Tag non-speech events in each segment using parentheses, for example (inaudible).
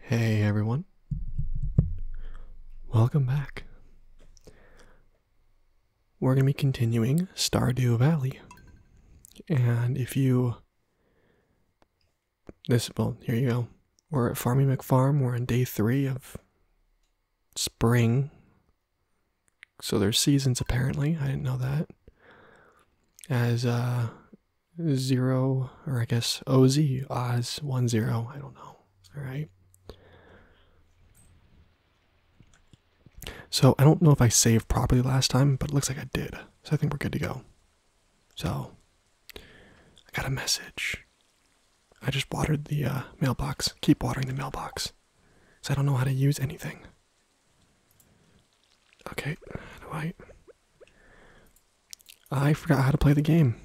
Hey everyone. Welcome back. We're going to be continuing Stardew Valley. And if you this well, here you go. We're at Farmy McFarm. We're on day 3 of spring so there's seasons apparently. I didn't know that. As uh zero or I guess OZ Oz one zero. I don't know. Alright. So I don't know if I saved properly last time, but it looks like I did. So I think we're good to go. So I got a message. I just watered the uh, mailbox. Keep watering the mailbox. So I don't know how to use anything. Okay, do I? I forgot how to play the game.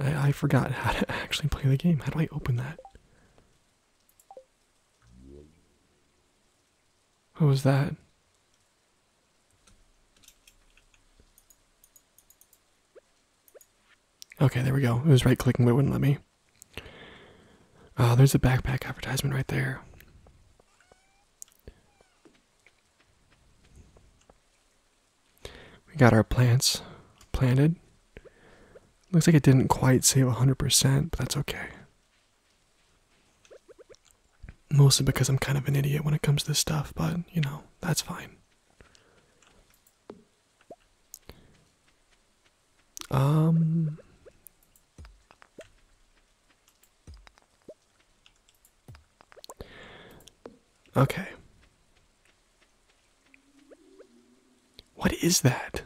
I, I forgot how to (laughs) actually play the game. How do I open that? What was that? Okay, there we go. It was right clicking, but it wouldn't let me. Uh, there's a backpack advertisement right there. We got our plants planted. Looks like it didn't quite save 100%, but that's okay. Mostly because I'm kind of an idiot when it comes to this stuff, but you know, that's fine. Um Okay. What is that?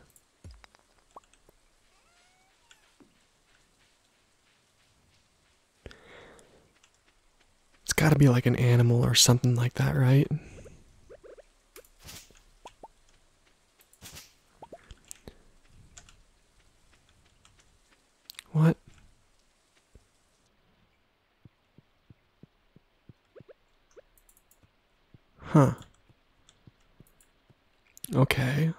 It's gotta be like an animal or something like that, right? What? Huh. Okay.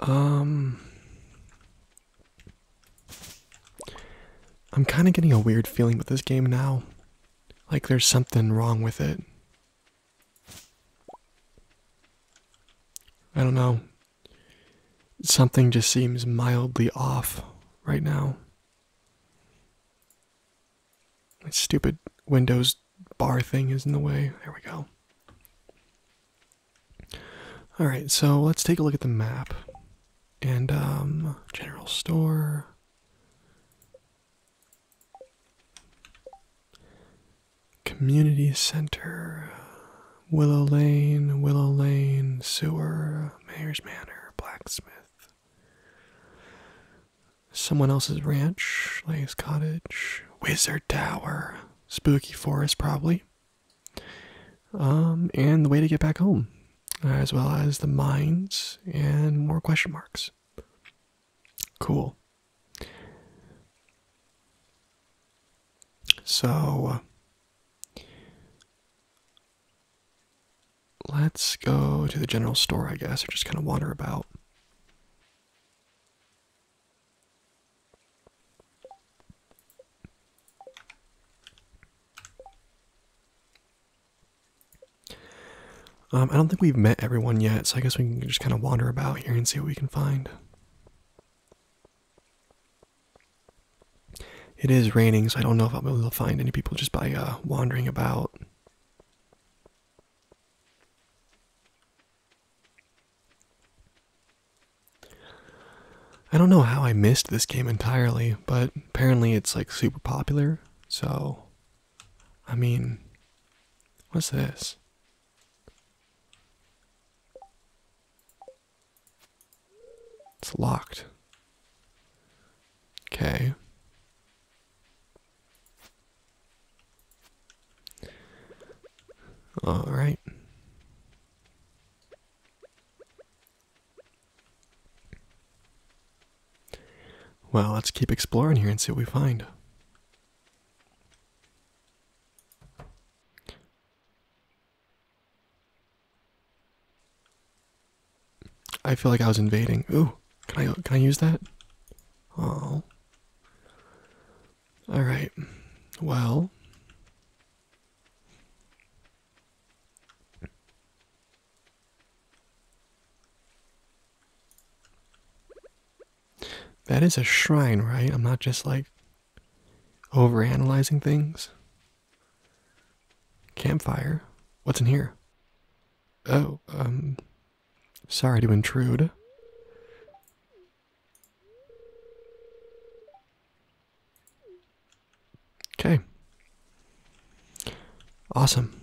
Um, I'm kind of getting a weird feeling with this game now. Like there's something wrong with it. I don't know. Something just seems mildly off right now. My stupid Windows bar thing is in the way. There we go. Alright, so let's take a look at the map. And, um, general store. Community Center, Willow Lane, Willow Lane, Sewer, Mayor's Manor, Blacksmith. Someone else's ranch, Lay's Cottage, Wizard Tower, Spooky Forest, probably. Um, and the way to get back home, as well as the mines and more question marks. Cool. So uh, let's go to the general store, I guess, or just kind of wander about. Um, I don't think we've met everyone yet, so I guess we can just kind of wander about here and see what we can find. It is raining, so I don't know if I'll be able to find any people just by uh, wandering about. I don't know how I missed this game entirely, but apparently it's like super popular, so. I mean, what's this? It's locked. Okay. All right. Well, let's keep exploring here and see what we find. I feel like I was invading. Ooh, can I can I use that? Oh. All right. Well. That is a shrine, right? I'm not just like overanalyzing things. Campfire. What's in here? Oh, um, sorry to intrude. Okay. Awesome.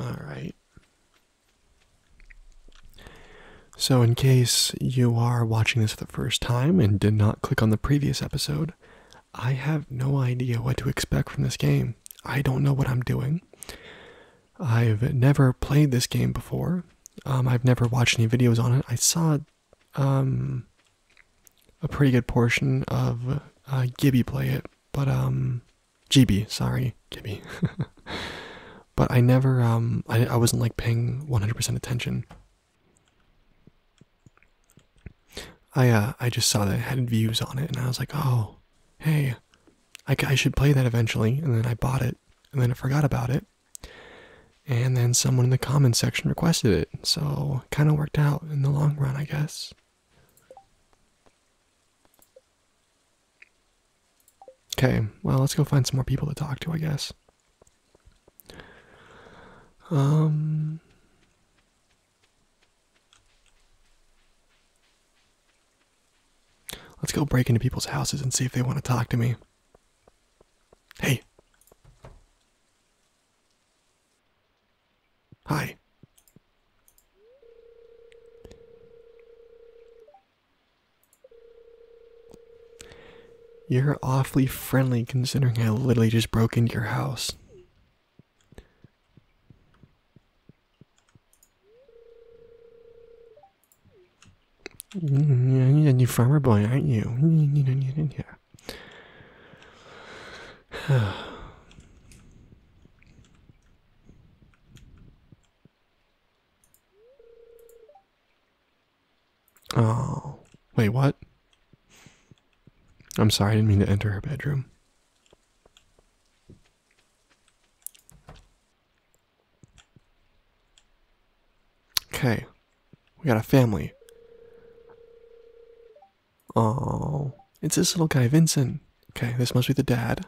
All right. So, in case you are watching this for the first time and did not click on the previous episode, I have no idea what to expect from this game. I don't know what I'm doing. I've never played this game before. Um, I've never watched any videos on it. I saw um, a pretty good portion of uh, Gibby play it, but um, GB, sorry, Gibby. (laughs) but I never, um, I, I wasn't like paying 100% attention. I uh, I just saw that it had views on it, and I was like, oh, hey, I, I should play that eventually. And then I bought it, and then I forgot about it. And then someone in the comments section requested it, so kind of worked out in the long run, I guess. Okay, well, let's go find some more people to talk to, I guess. Um. Let's go break into people's houses and see if they want to talk to me. Hey. Hi. You're awfully friendly considering I literally just broke into your house. I need a new farmer boy, aren't you? Yeah. (sighs) Oh, wait, what? I'm sorry, I didn't mean to enter her bedroom. Okay. We got a family. Oh, it's this little guy, Vincent. Okay, this must be the dad.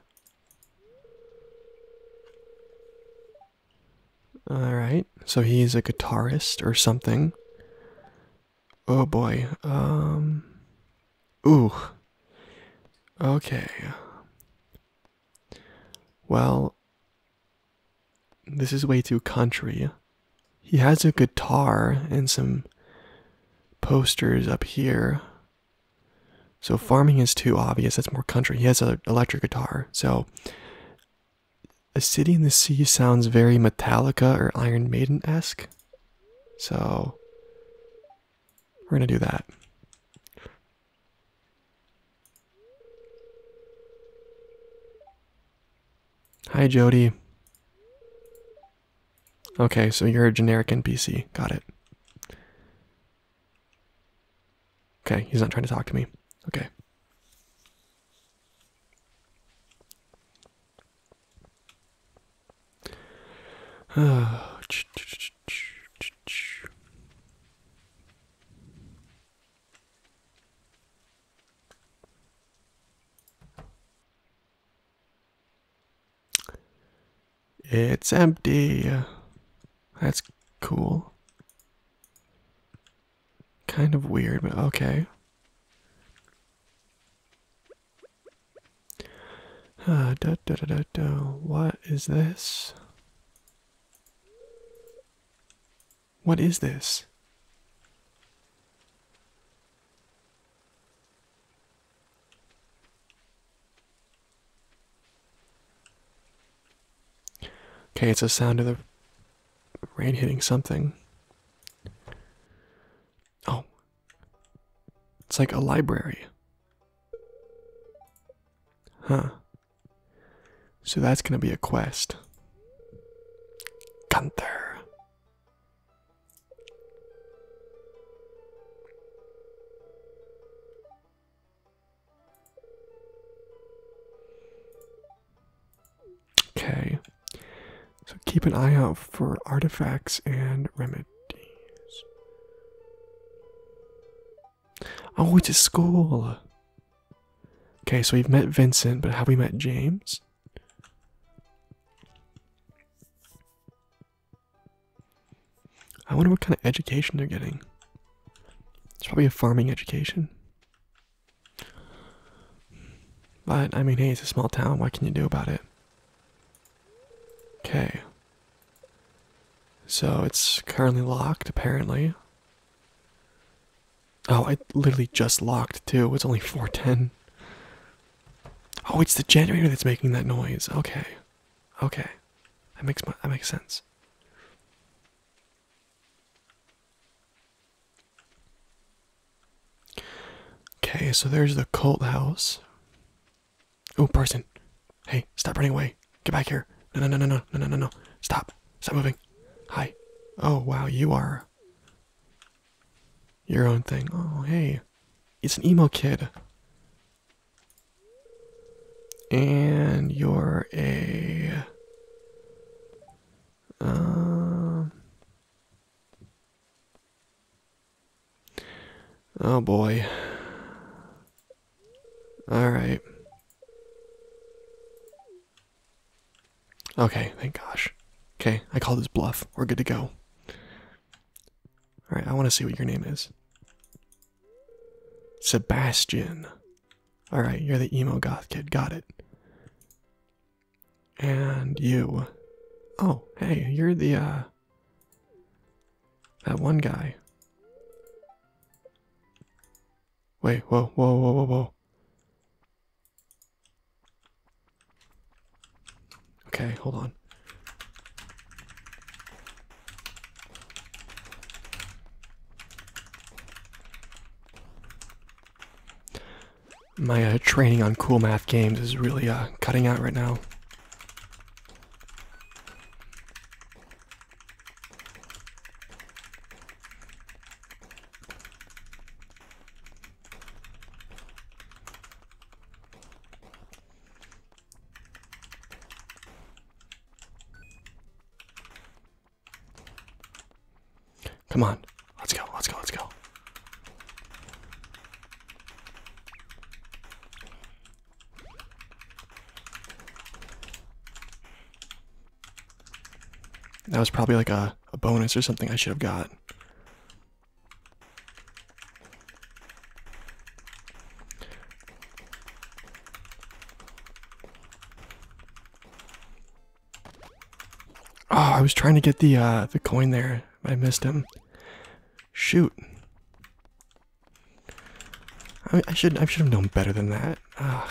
Alright, so he's a guitarist or something. Oh boy, um. Ooh. Okay. Well, this is way too country. He has a guitar and some posters up here. So farming is too obvious. That's more country. He has an electric guitar. So a city in the sea sounds very Metallica or Iron Maiden esque. So we're going to do that. Hi, Jody. Okay, so you're a generic NPC. Got it. Okay, he's not trying to talk to me. Okay. (sighs) It's empty. That's cool. Kind of weird, but okay. da, da, da, da, da. What is this? What is this? Okay, it's a sound of the rain hitting something. Oh. It's like a library. Huh. So that's going to be a quest. Gunther. Okay. So keep an eye out for artifacts and remedies i we going to school. Okay, so we've met Vincent, but have we met James? I wonder what kind of education they're getting. It's probably a farming education. But, I mean, hey, it's a small town. What can you do about it? Okay. So, it's currently locked, apparently. Oh, I literally just locked too. It's only 410. Oh, it's the generator that's making that noise. Okay. Okay. That makes that makes sense. Okay, so there's the cult house. Oh, person. Hey, stop running away get back here. No, no, no, no, no, no, no, no, Stop. Stop moving. Hi. Oh, wow, you are your own thing. Oh, hey. It's an emo kid. And you're a. Um, oh boy. Alright. Okay, thank gosh. Okay, I call this bluff. We're good to go. Alright, I want to see what your name is. Sebastian. Alright, you're the emo goth kid. Got it. And you. Oh, hey, you're the, uh. That one guy. Wait, whoa, whoa, whoa, whoa, whoa. Okay, hold on. My uh, training on cool math games is really uh, cutting out right now. Come on. Let's go. Let's go. Let's go. That was probably like a, a bonus or something I should have got. Oh, I was trying to get the uh, the coin there. I missed him. Shoot. I should I should have known better than that. I,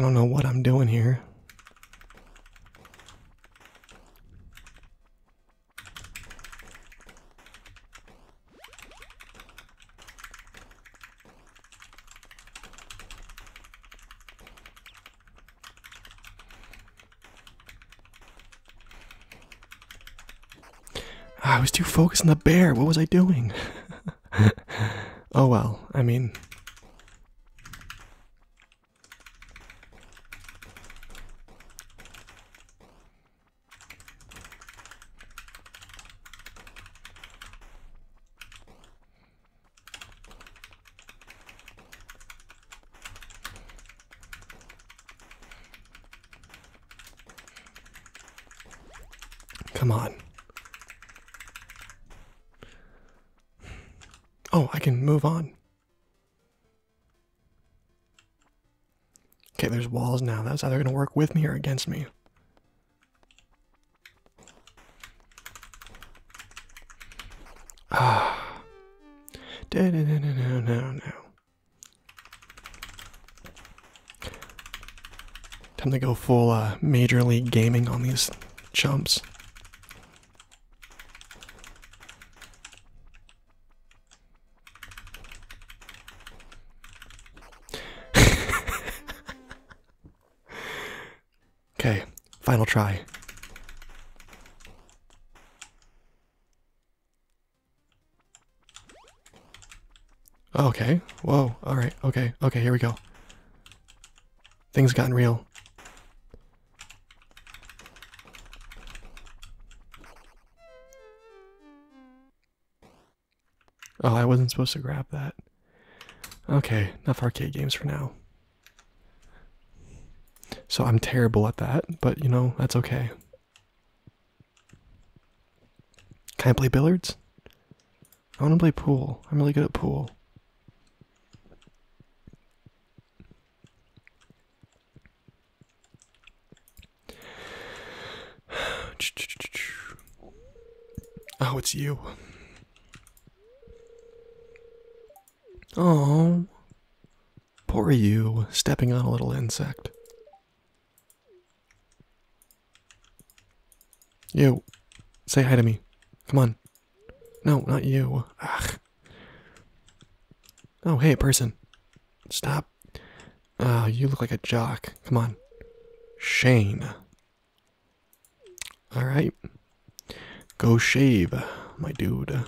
don't know what I'm doing here. Ah, I was too focused on the bear. What was I doing? (laughs) oh well, I mean. Come on. Oh, I can move on. Okay, there's walls now. That's either going to work with me or against me. Ah. No, no, no, no, no, no. Time to go full uh, Major League Gaming on these chumps. (laughs) Okay, final try. Oh, okay, whoa, alright, okay, okay, here we go. Things gotten real. Oh, I wasn't supposed to grab that. Okay, enough arcade games for now. So I'm terrible at that, but you know, that's okay. Can I play billiards? I want to play pool. I'm really good at pool. (sighs) Oh, it's you. Oh, poor you, stepping on a little insect. You, say hi to me. Come on. No, not you. Oh, hey, person. Stop. Ah, you look like a jock. Come on. Shane. All right. Go shave, my dude.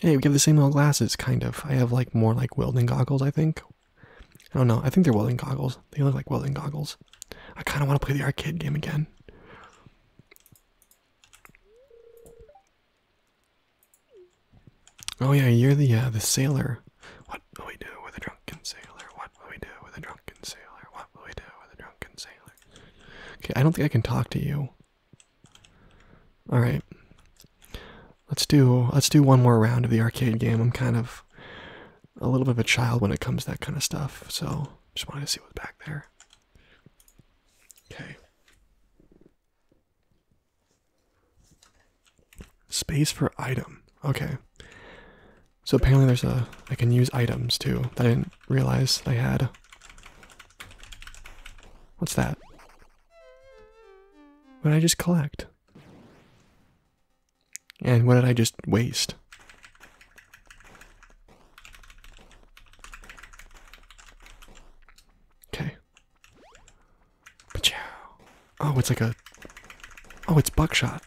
Hey, we have the same old glasses, kind of. I have like more like welding goggles, I think. I don't know. I think they're welding goggles. They look like welding goggles. I kind of want to play the arcade game again. Oh yeah, you're the uh, the sailor. What do we do with a drunken sailor? What? What will we do with a drunken sailor? What will we do with a drunken sailor? Okay, I don't think I can talk to you. All right. Let's do let's do one more round of the arcade game. I'm kind of a little bit of a child when it comes to that kind of stuff, so just wanted to see what's back there. Okay. Space for item. Okay. So apparently there's a I can use items too. That I didn't realize I had. What's that? What did I just collect? And what did I just waste? Okay. Pachow. Oh, it's like a. Oh, it's buckshot.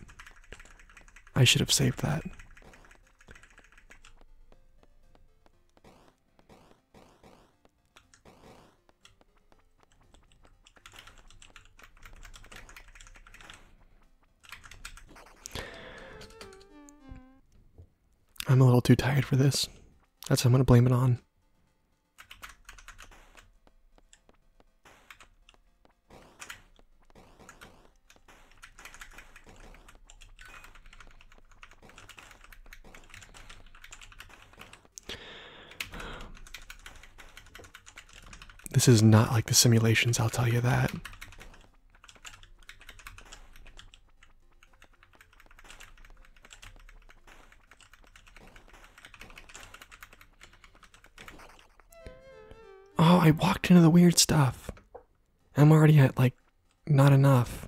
I should have saved that. I'm a little too tired for this. That's what I'm going to blame it on. This is not like the simulations, I'll tell you that. Oh, I walked into the weird stuff. I'm already at like not enough.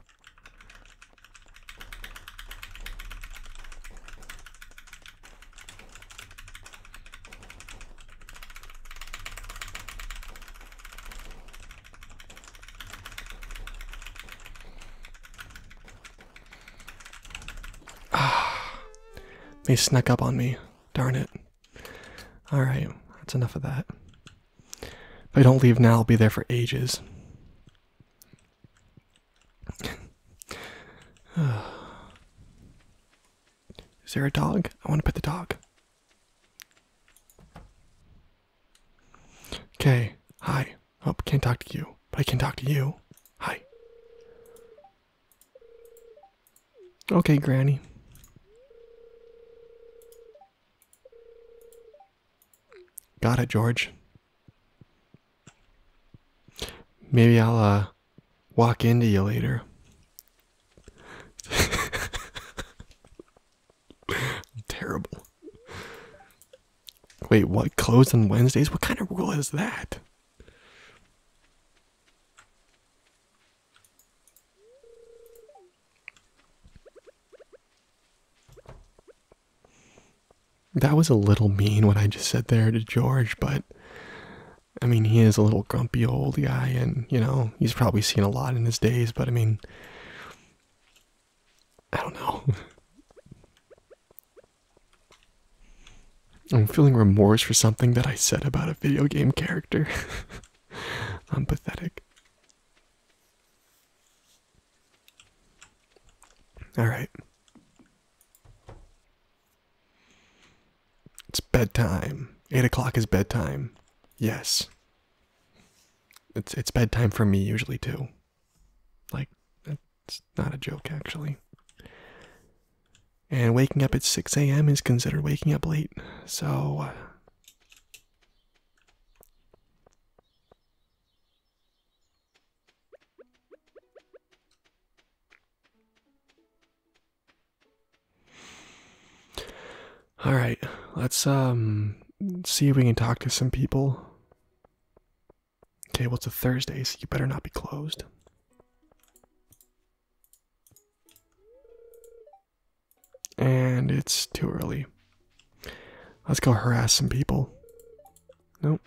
Ah, (sighs) they snuck up on me. Darn it. Alright, that's enough of that. If I don't leave now, I'll be there for ages. (sighs) Is there a dog? I want to pet the dog. Okay, hi. Oh, can't talk to you, but I can talk to you. Hi. Okay, Granny. Got it, George. Maybe I'll uh, walk into you later. (laughs) Terrible. Wait, what? Closed on Wednesdays? What kind of rule is that? That was a little mean what I just said there to George, but I mean, he is a little grumpy old guy, and you know, he's probably seen a lot in his days, but I mean, I don't know. (laughs) I'm feeling remorse for something that I said about a video game character. (laughs) I'm pathetic. Alright. It's bedtime. Eight o'clock is bedtime. Yes. It's it's bedtime for me usually too. Like it's not a joke, actually. And waking up at 6 a.m. is considered waking up late, so. Uh, All right, let's um see if we can talk to some people. Okay, well, it's a Thursday, so you better not be closed. And it's too early. Let's go harass some people. Nope.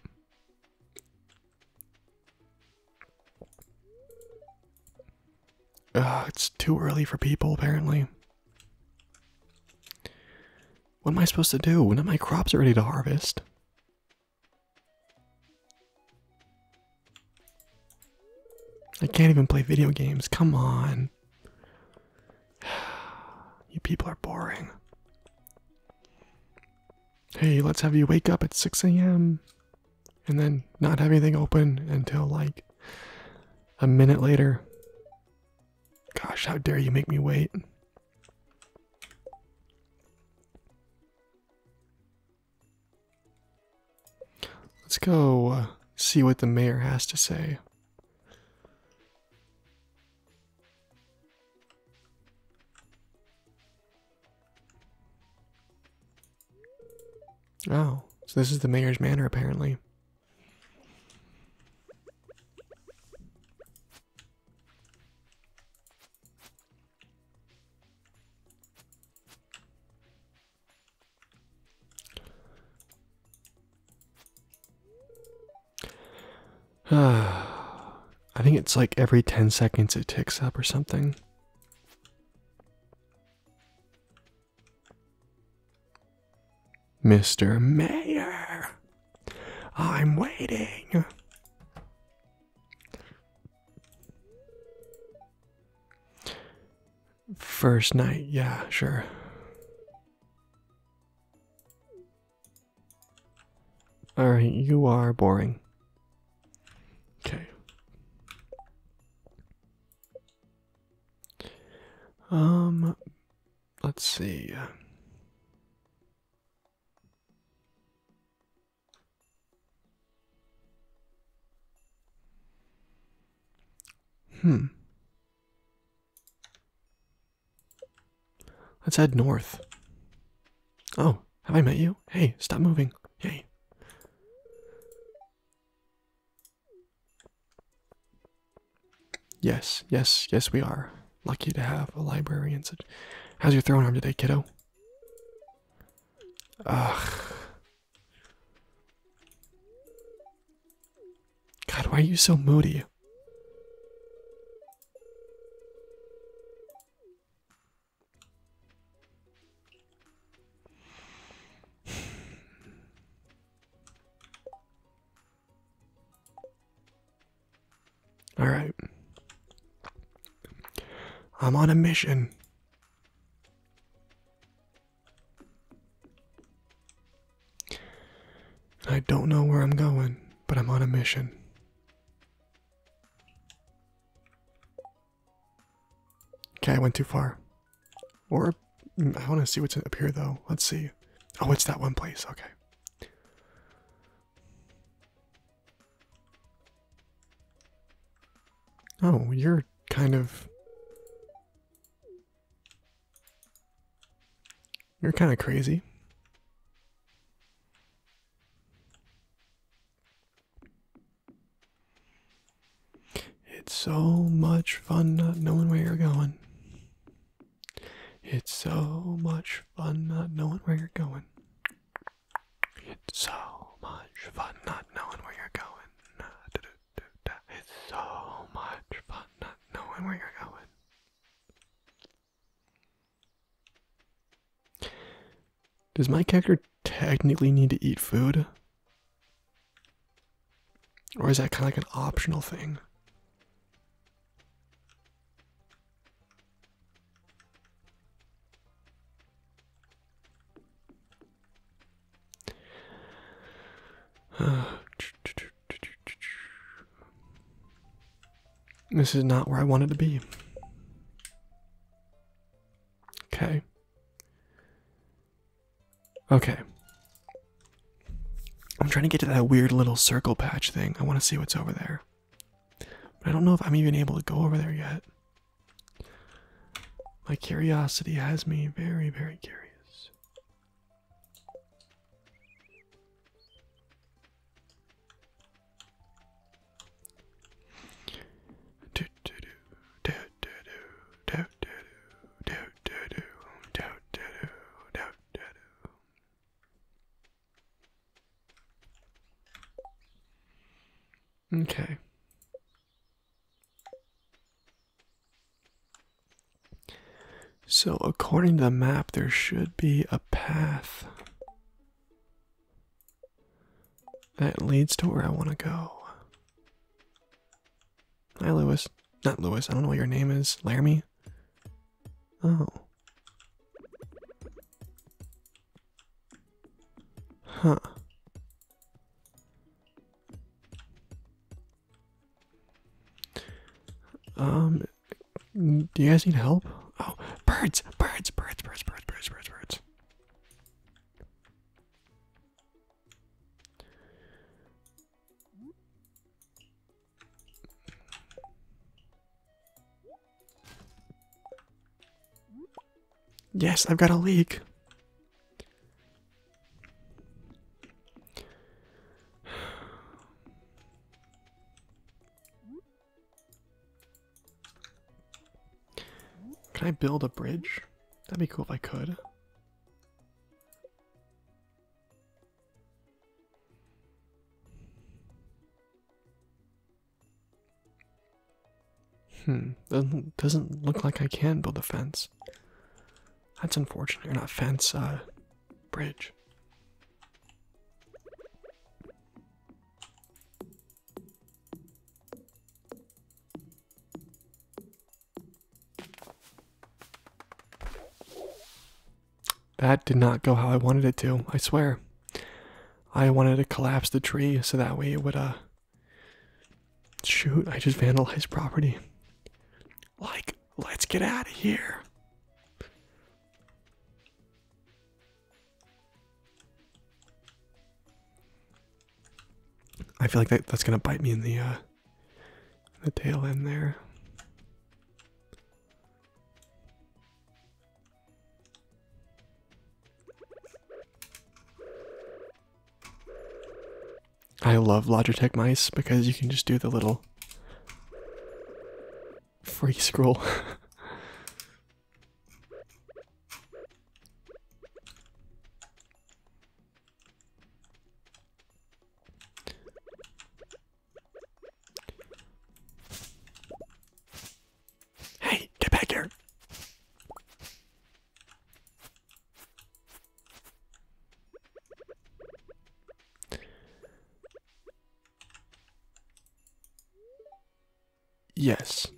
Ugh, it's too early for people, apparently. What am I supposed to do? When are my crops ready to harvest. I can't even play video games. Come on. (sighs) You people are boring. Hey, let's have you wake up at 6 a.m. and then not have anything open until like a minute later. Gosh, how dare you make me wait. Let's go uh, see what the mayor has to say. Oh, so this is the mayor's manner, apparently. (sighs) I think it's like every 10 seconds it ticks up or something. Mr. Mayor, I'm waiting. First night, yeah, sure. Alright, you are boring. Okay. Um, let's see. Hmm. Let's head north. Oh, have I met you? Hey, stop moving. Yay. Yes, yes, yes, we are. Lucky to have a librarian. and such. How's your throwing arm today, kiddo? Ugh. God, why are you so moody? All right. I'm on a mission. I don't know where I'm going, but I'm on a mission. Okay, I went too far. Or mm, I want to see what's up here though. Let's see. Oh, it's that one place. Okay. Oh, you're kind of... You're kind of crazy. It's so much fun not knowing where you're going. It's so much fun not knowing where you're going. It's so much fun not knowing where you're going. It's so much fun not knowing where you're going. Does my character technically need to eat food? Or is that kind of like an optional thing? (sighs) This is not where I wanted to be. Okay. Okay. I'm trying to get to that weird little circle patch thing. I want to see what's over there. But I don't know if I'm even able to go over there yet. My curiosity has me very, very curious. Okay. So, according to the map, there should be a path that leads to where I want to go. Hi, Lewis. Not Lewis, I don't know what your name is. Laramie? Oh. Huh. Um, do you guys need help? Oh, birds, birds, birds, birds, birds, birds, birds, birds. Yes, I've got a leak. Can I build a bridge? That'd be cool if I could. Hmm, doesn't, doesn't look like I can build a fence. That's unfortunate, or not fence, uh, bridge. That did not go how I wanted it to, I swear. I wanted to collapse the tree so that way it would, uh. Shoot, I just vandalized property. Like, let's get out of here. I feel like that's gonna bite me in the uh the tail end there. I love Logitech mice because you can just do the little free scroll. (laughs) Hey, get back here. Yes.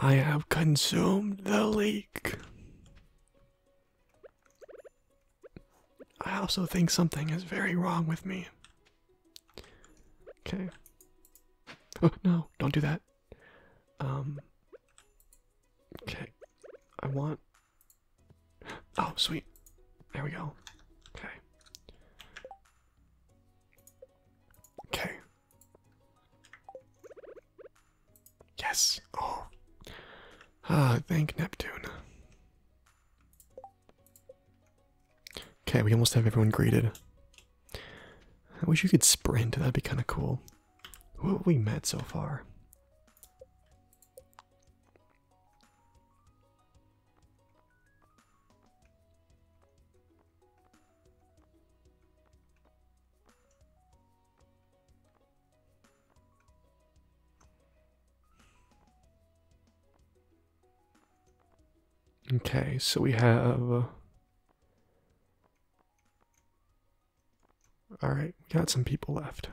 I have consumed the leak. I also think something is very wrong with me. Okay. Oh, no, don't do that. Um. Okay. I want. Oh, sweet. There we go. Okay. Okay. Yes. Oh. Ah, thank Neptune. Okay, we almost have everyone greeted. I wish you could sprint. That'd be kind of cool. Who we met so far? Okay, so we have. Uh, Alright, we got some people left.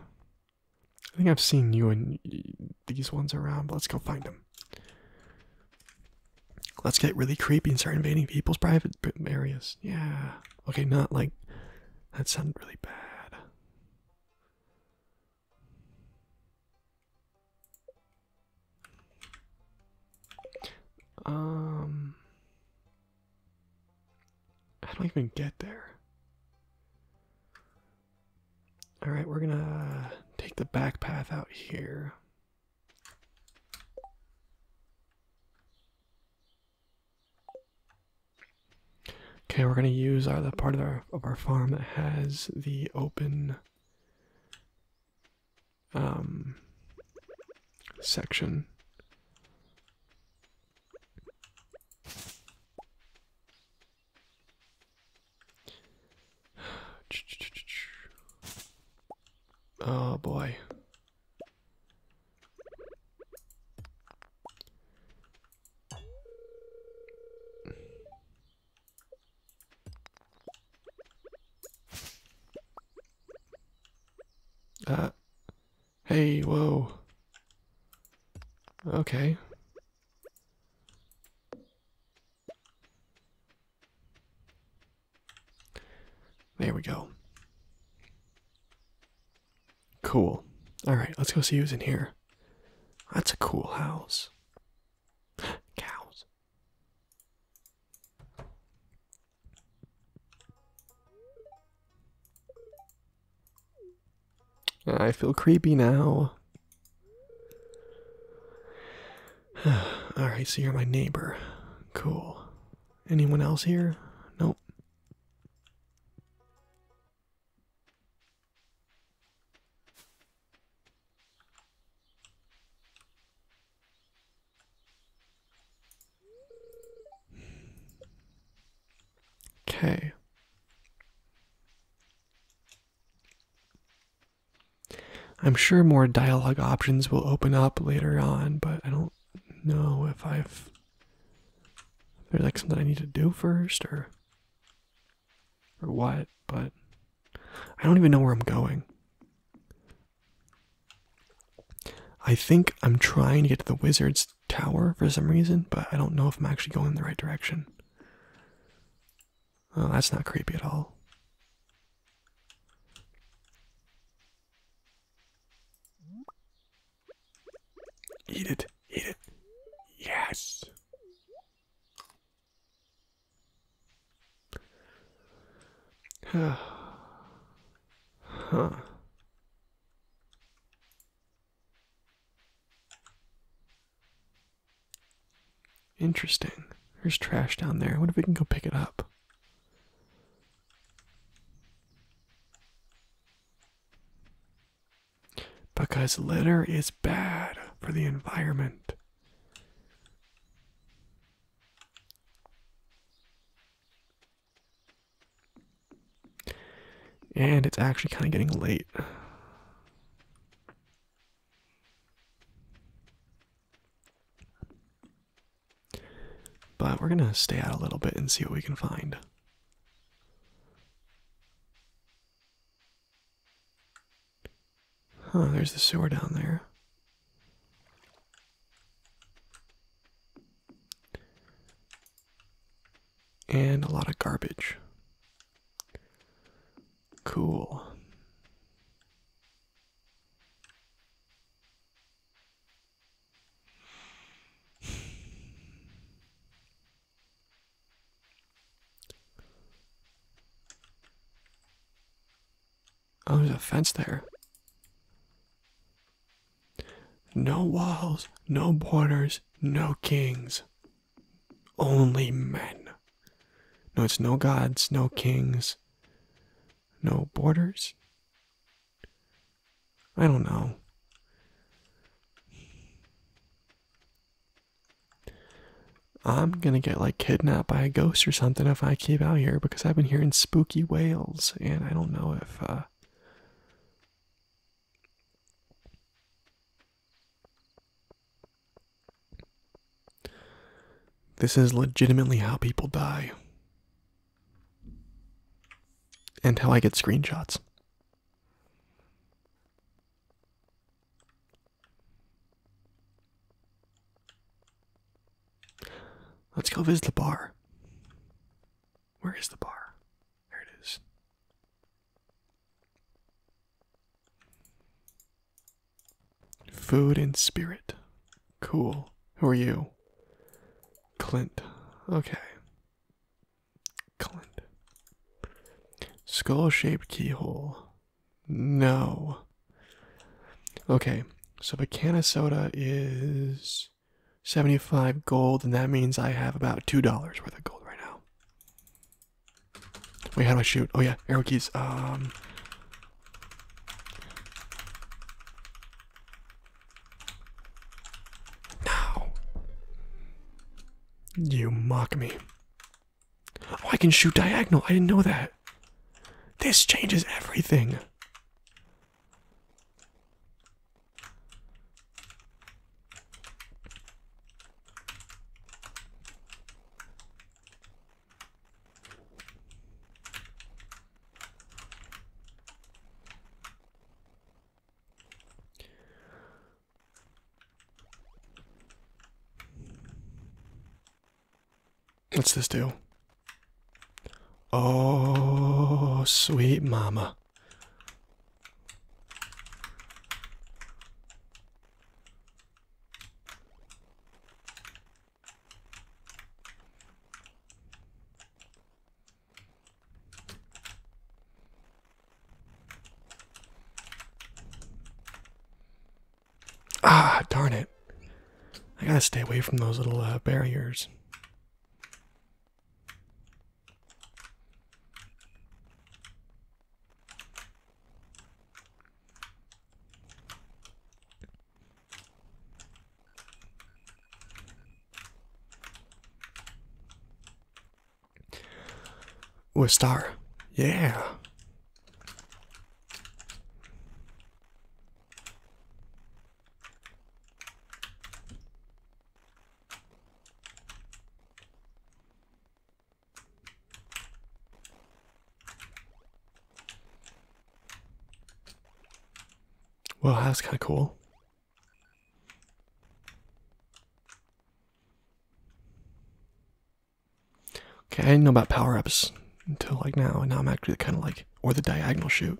I think I've seen you and these ones around, let's go find them. Let's get really creepy and start invading people's private areas. Yeah. Okay, not like that sounded really bad. Um I don't even get there. Alright, we're gonna take the back path out here. Okay, we're gonna use our, the part of our of our farm that has the open um, section. (sighs) Oh boy. Uh, hey, whoa. Okay. There we go. Cool. All right, let's go see who's in here. That's a cool house. (gasps) Cows. I feel creepy now. (sighs) All right, so you're my neighbor. Cool. Anyone else here? Nope. Okay. I'm sure more dialogue options will open up later on, but I don't know if I've there's like something I need to do first or or what, but I don't even know where I'm going. I think I'm trying to get to the wizard's tower for some reason, but I don't know if I'm actually going in the right direction. Oh, that's not creepy at all. Eat it. Eat it. Yes. (sighs) huh. Interesting. There's trash down there. I wonder if we can go pick it up. Because litter is bad for the environment. And it's actually kind of getting late. But we're gonna stay out a little bit and see what we can find. Huh, there's the sewer down there. And a lot of garbage. Cool. Oh, there's a fence there. No walls, no borders, no kings. Only men. No, it's no gods, no kings, no borders. I don't know. I'm gonna get like kidnapped by a ghost or something if I keep out here because I've been hearing spooky wails and I don't know if uh This is legitimately how people die until I get screenshots. Let's go visit the bar. Where is the bar? There it is. Food and Spirit. Cool. Who are you? Clint. Okay. Clint. Skull shaped keyhole. No. Okay, so the can of soda is 75 gold, and that means I have about $2 worth of gold right now. Wait, how do I shoot? Oh, yeah, arrow keys. Um. Now. You mock me. Oh, I can shoot diagonal. I didn't know that. This changes everything. What's this do? Oh, sweet mama. Ah, darn it. I gotta stay away from those little uh, barriers. Ooh, a star. Yeah. Well, that's kind of cool. Okay, I didn't know about power ups until like now, and now I'm actually kind of like, or the diagonal shoot.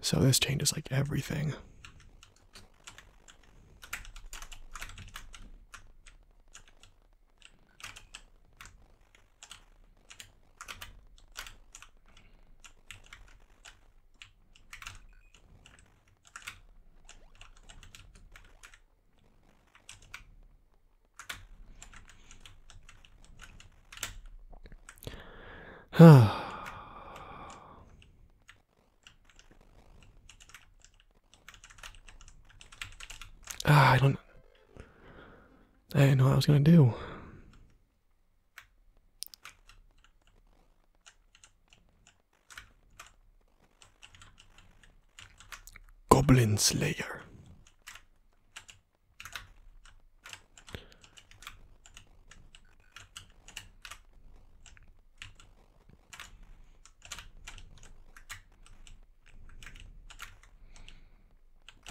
So this changes like everything. (sighs) ah, I don't. I didn't know what I was gonna do. Goblin Slayer.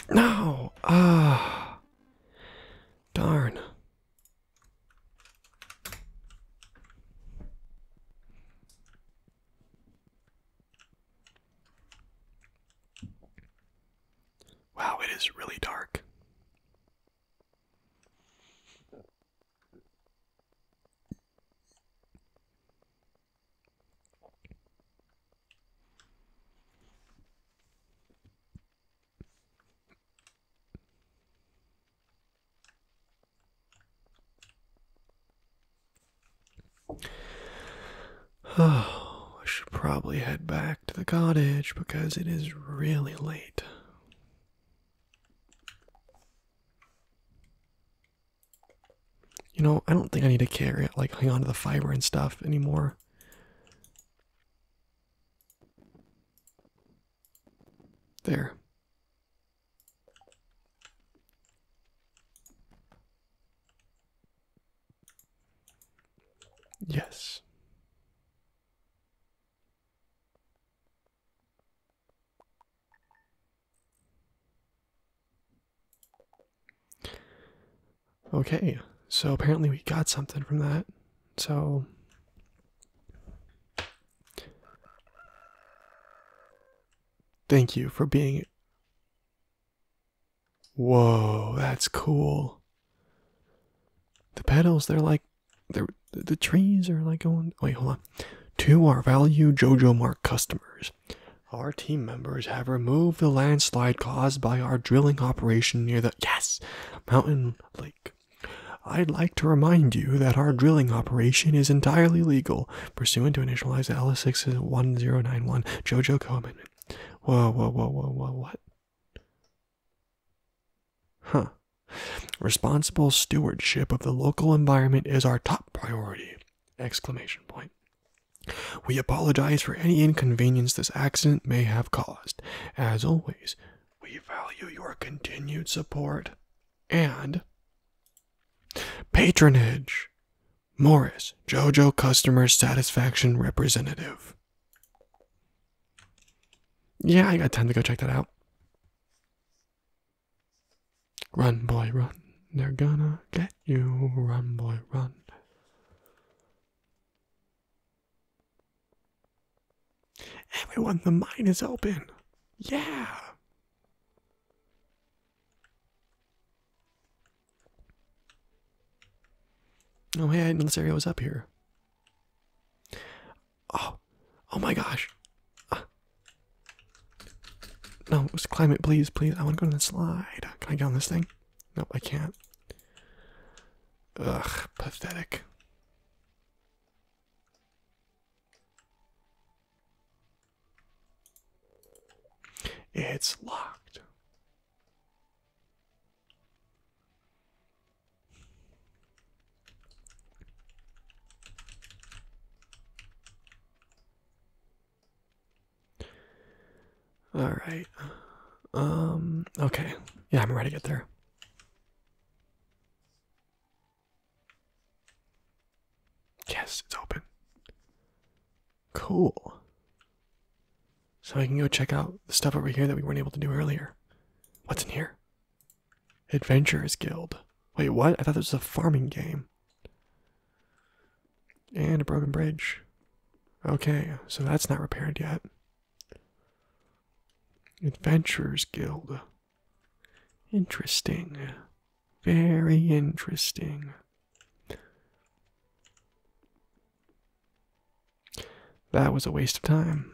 No, ah, Darn. Wow, it is really dark. Oh, (sighs) I should probably head back to the cottage because it is really late. You know, I don't think I need to carry it, like hang on to the fiber and stuff anymore. There. Yes. Okay, so apparently we got something from that. So. Thank you for being. Whoa, that's cool. The petals, they're like. they the trees are like going. Wait, hold on. To our value JoJo Mart customers, our team members have removed the landslide caused by our drilling operation near the yes mountain lake. I'd like to remind you that our drilling operation is entirely legal, pursuant to Initializer L6 one zero nine one Jojo Komen. Whoa, whoa, whoa, whoa, whoa, what? Huh. Responsible stewardship of the local environment is our top priority. Exclamation point. We apologize for any inconvenience this accident may have caused. As always, we value your continued support and patronage. Morris, JoJo Customer Satisfaction Representative. Yeah, I got time to go check that out. Run, boy, run. They're gonna get you. Run, boy, run. Everyone, the mine is open. Yeah. Oh, hey, I did know this area was up here. Oh, oh my gosh. Uh, no, it was climate, please, please. I want to go to the slide. Can I get on this thing? Nope, I can't. Ugh, pathetic. It's locked. All right. Um, okay. Yeah, I'm ready to get there. Yes, it's open. Cool. So I can go check out the stuff over here that we weren't able to do earlier. What's in here? Adventurers Guild. Wait, what? I thought this was a farming game. And a broken bridge. Okay, so that's not repaired yet. Adventurers Guild. Interesting. Very interesting. That was a waste of time.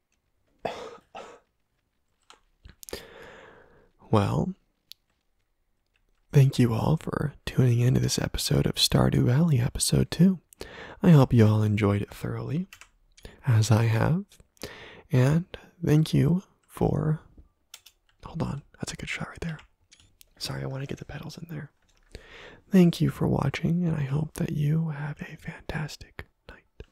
well, thank you all for tuning in to this episode of Stardew Valley, episode 2. I hope you all enjoyed it thoroughly, as I have. And thank you for. Hold on, that's a good shot right there. Sorry, I want to get the pedals in there. Thank you for watching, and I hope that you have a fantastic night.